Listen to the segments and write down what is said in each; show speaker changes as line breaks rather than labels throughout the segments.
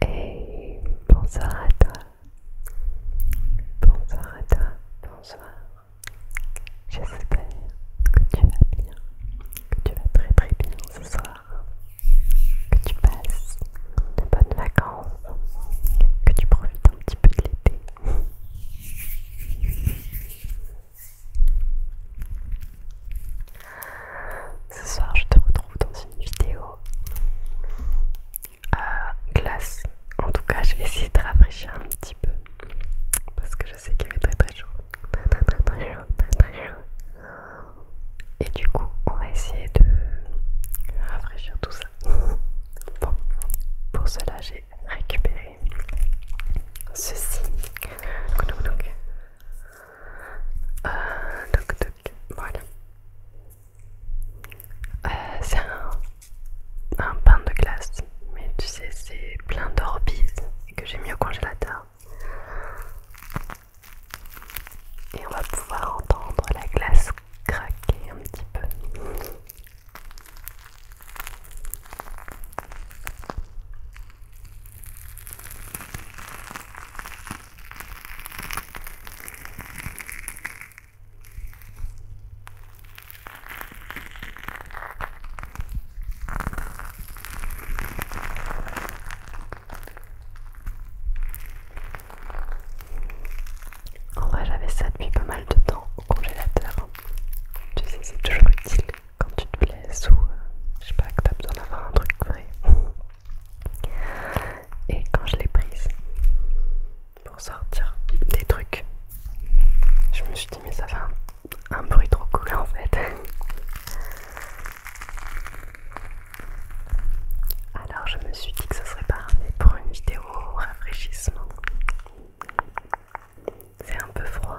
Hey, bonsoir à toi. Bonsoir à toi. Bonsoir. J'espère que tu vas bien, que tu vas très très bien ce soir, que tu passes de bonnes vacances, que tu profites un petit peu de l'été. Ce soir, je te retrouve dans une vidéo à glace. En tout cas, je vais essayer de rafraîchir un petit peu parce que je sais qu'il est très très très très chaud. Et du coup, on va essayer de rafraîchir tout ça. Bon, pour cela, j'ai récupéré ceci.
Voilà. Euh, euh, c'est un, pain de glace, mais tu sais, c'est plein d'orbites que j'ai mis au congélateur. Et on va pouvoir entendre la glace craquer un petit peu. En vrai, j'avais ça depuis pas mal de temps au congélateur. Tu sais, c'est toujours utile quand tu te blesses ou euh, je sais pas, que t'as besoin d'avoir un truc vrai. Et quand je l'ai prise pour sortir des trucs, je me suis dit, mais ça fait un, bruit trop cool en fait. Alors je me suis dit que ce serait pas parfait pour une vidéo rafraîchissement c'est un peu froid.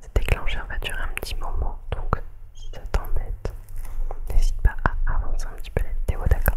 Cette déclencheur va durer un petit moment, donc si ça t'embête, n'hésite pas à avancer un petit peu la vidéo, d'accord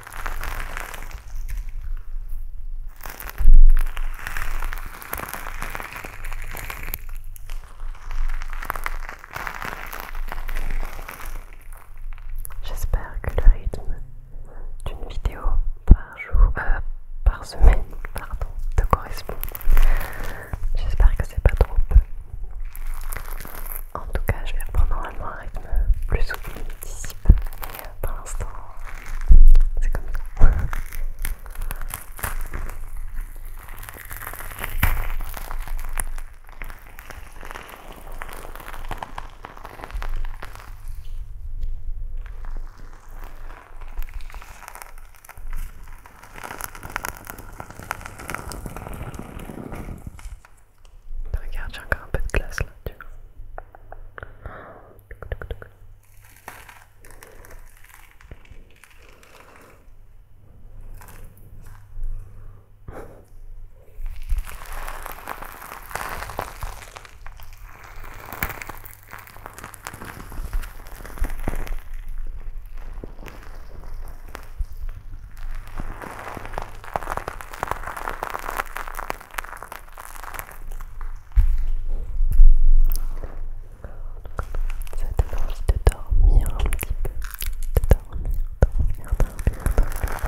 J'espère que le rythme d'une vidéo par jour, euh, par semaine, pardon, te correspond. J'espère que c'est pas trop peu. En tout cas, je vais reprendre normalement un rythme plus ou d'ici peu, mais pour l'instant, c'est comme ça. Regarde, j'ai encore un peu de glace là, tu vois. Ça donne envie de dormir un petit peu. De dormir, dormir, dormir,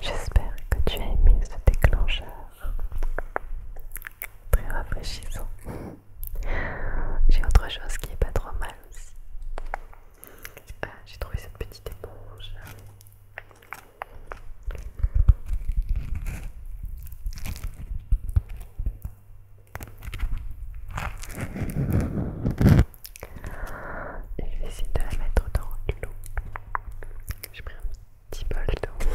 J'espère que tu as aimé ce déclencheur très rafraîchissant. J'ai autre chose qui est pas trop mal aussi. Ah, j'ai trouvé cette petite éponge. je vais essayer de la mettre dans l'eau. J'ai pris un petit bol dedans.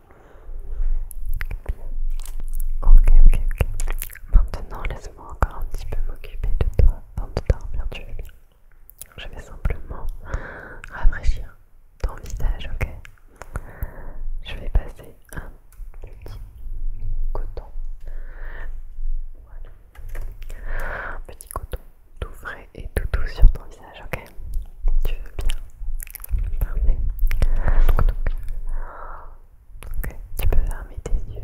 Ok, ok, ok. Maintenant, laisse-moi encore un petit peu m'occuper de toi avant de dormir, tu veux bien. Je vais simplement rafraîchir ton visage, ok Je vais passer un petit coton. Voilà. Un petit coton tout frais et tout doux sur ton visage, ok Tu veux bien tu peux fermer tes yeux.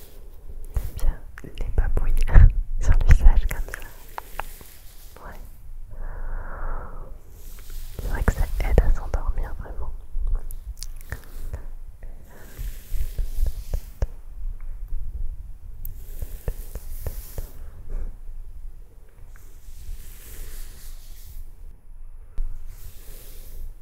J'aime bien les babouilles sur le visage comme ça. Ouais. C'est vrai que ça aide à s'endormir vraiment.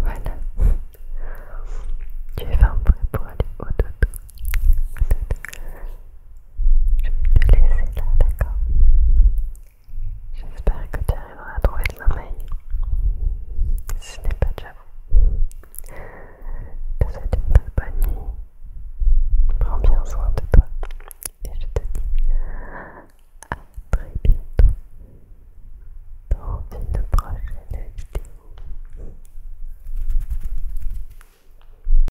Voilà, tu es vraiment prêt pour aller au dodo. Je vais te laisser là, d'accord J'espère que tu arriveras à trouver de sommeil. Si ce n'est pas déjà fait. Je te souhaite une bonne nuit. Prends bien soin de toi. Et je te dis à très bientôt dans une prochaine vidéo.